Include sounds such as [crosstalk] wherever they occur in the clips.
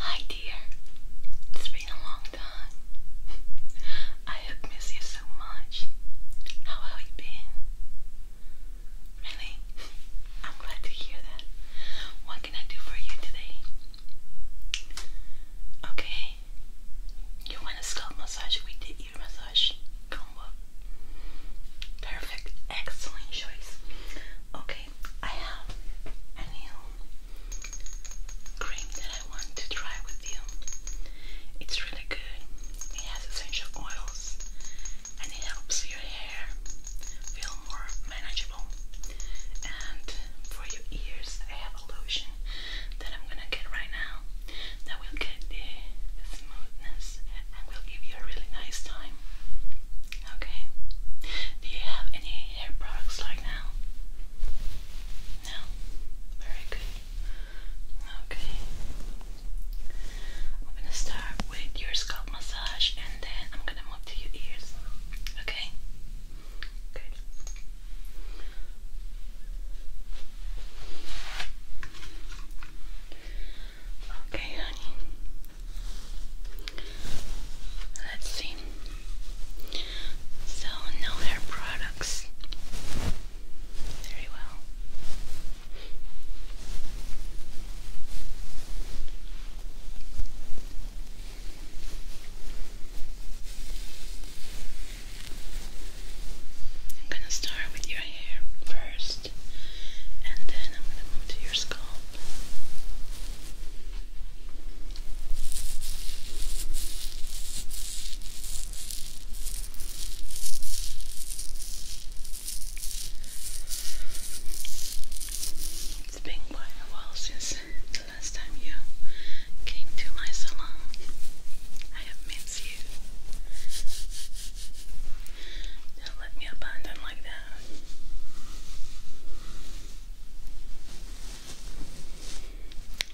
Hi, dear. It's been a long time. I have missed you so much. How have you been? Really? I'm glad to hear that. What can I do for you today? Okay. You want a scalp massage? We did massage combo. Perfect, excellent choice. Okay, I have a new cream that I want to try with you. It's really good. It has essential oils and it helps your hair feel more manageable. And for your ears, I have a lotion that I'm gonna get right now that will get the smoothness and will give you a really nice time. Okay. Do you have any hair products like now? No? Very good. Okay. I'm gonna start with your scalp massage and then I'm gonna move to your ears. Okay? Good. Okay, honey. Let's see. So, no hair products. Very well. I'm gonna start with your hair first, and then I'm gonna move to your scalp. It's been quite a while since the last time you came to my salon loves you. Don't let me abandon like that.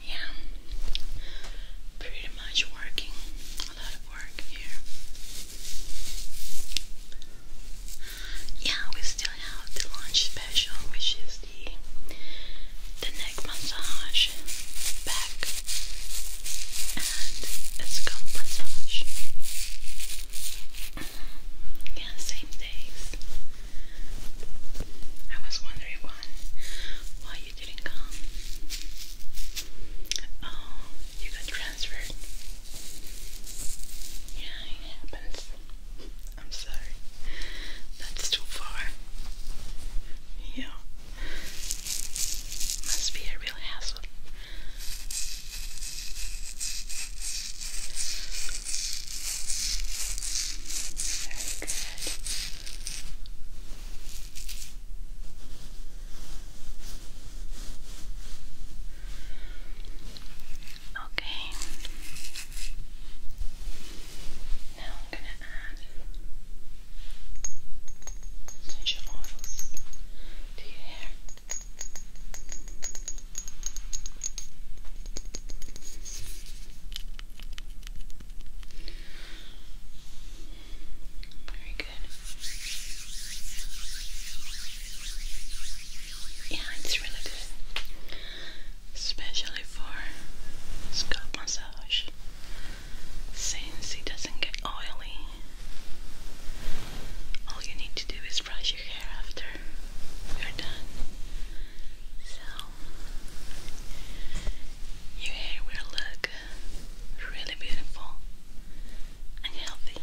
Yeah, pretty much working, a lot of work here. Yeah, we still have the lunch special, which is the the neck massage, and scalp massage. Yeah, same days. I was wondering why, why you didn't come. Oh, you got transferred. Yeah, it happens. I'm sorry. That's too far. Yeah. Must be a real hassle. Very good. Okay. Now I'm going to add Change your to your hair. Very good. Yeah, it's really good. Especially for scalp massage since it doesn't get oily. All you need to do is brush your hair after you're done. So, your hair will look really beautiful and healthy.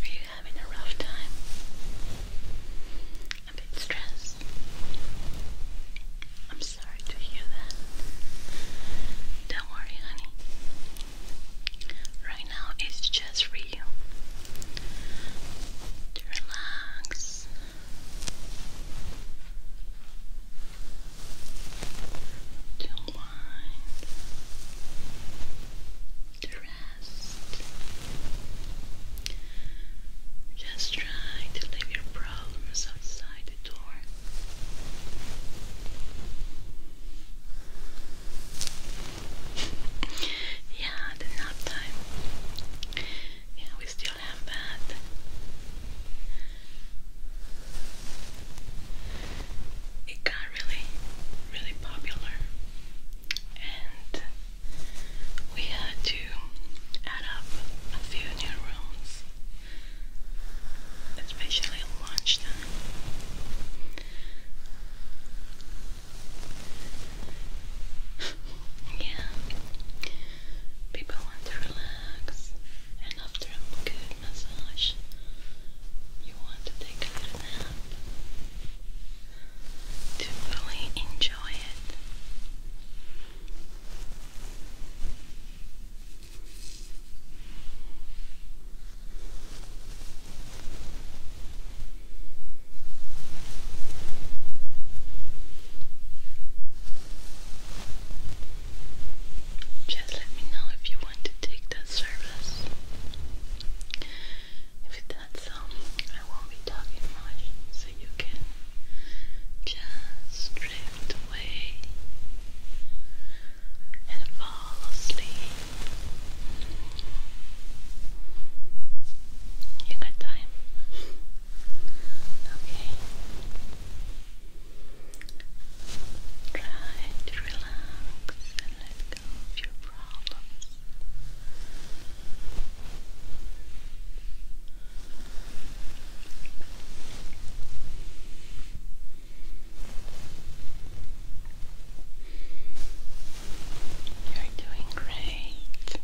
Are you having a rough time? A bit stressed? I'm sorry to hear that. Don't worry, honey. Right now, it's just for you to relax. To unwind, to rest. Just try to leave your problems outside the door. yeah, the nap time. Yeah, we still have that. It got really, really popular, and we had to add up a few new rooms especially basically lunchtime. [laughs] yeah, people want to relax, and after a good massage, you want to take a little nap to really enjoy it. Just let me know if you want to take that service. If that's so, um, I won't be talking much, so you can just drift away and fall asleep. You got time? Okay. Try to relax and let go of your problems. You're doing great.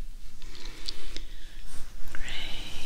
Great.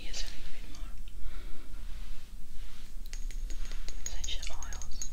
Use a little bit more essential oils.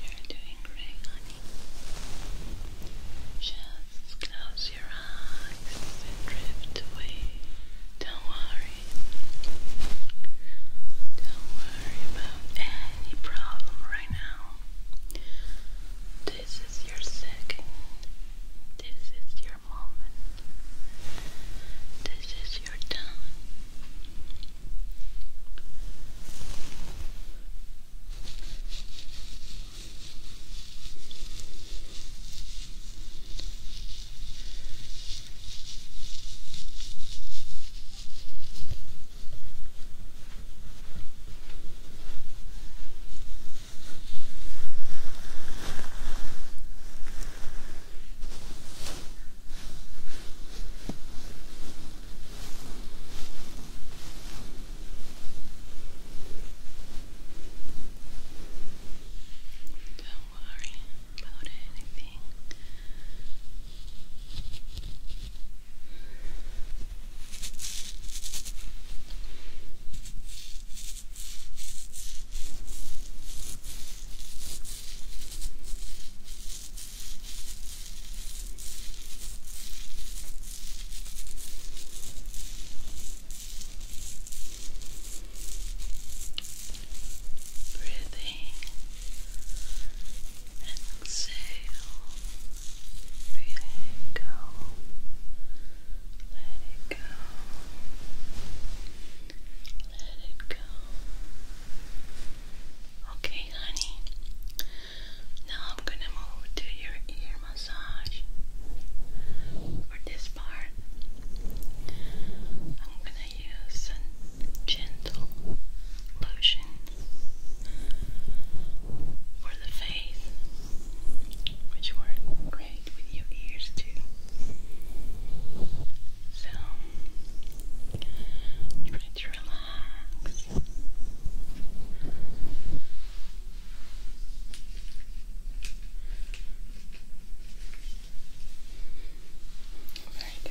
You're doing great, Just close your eyes and drift away. Don't worry. Don't worry about any problem right now. This is your second. This is your moment. This is your time. Don't worry about anything. Breathing, exhale. Let it go. Let it go. Let it go. Okay, honey. Now I'm gonna move to your ear massage. For this part, I'm gonna use a gentle lotion for the face which work great with your ears too. So try to relax. Very good.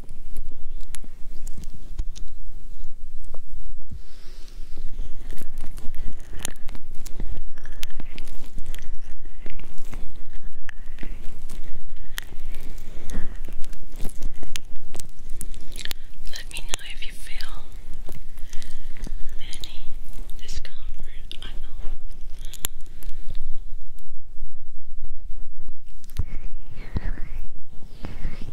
Let me know if you feel any discomfort. [laughs]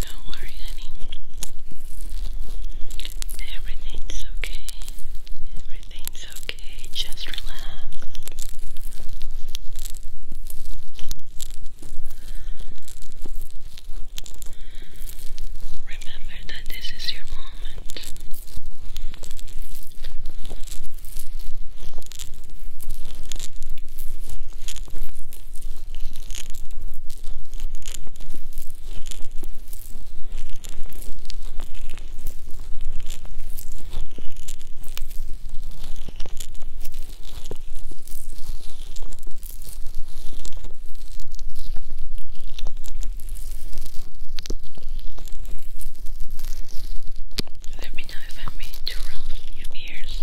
Don't worry, honey. Everything's okay. Everything's okay. Just relax. Remember that this is your moment. Let me know if I'm being too rough in your ears.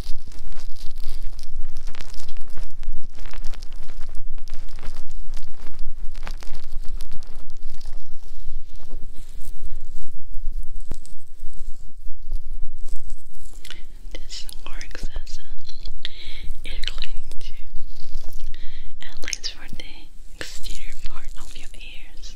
This work as air cleaning too, at least for the exterior part of your ears.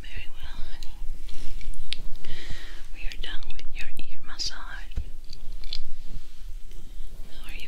Very well, honey. We are done with your ear massage. How are you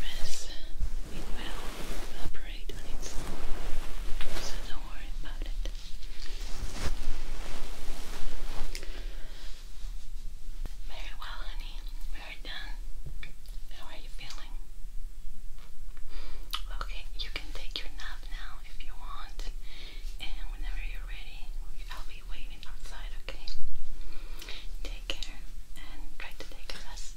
rest, it will evaporate on its own, so don't worry about it. Very well, honey. Very done. How are you feeling? Okay, you can take your nap now if you want. And whenever you're ready, I'll be waiting outside, okay? Take care and try to take a rest.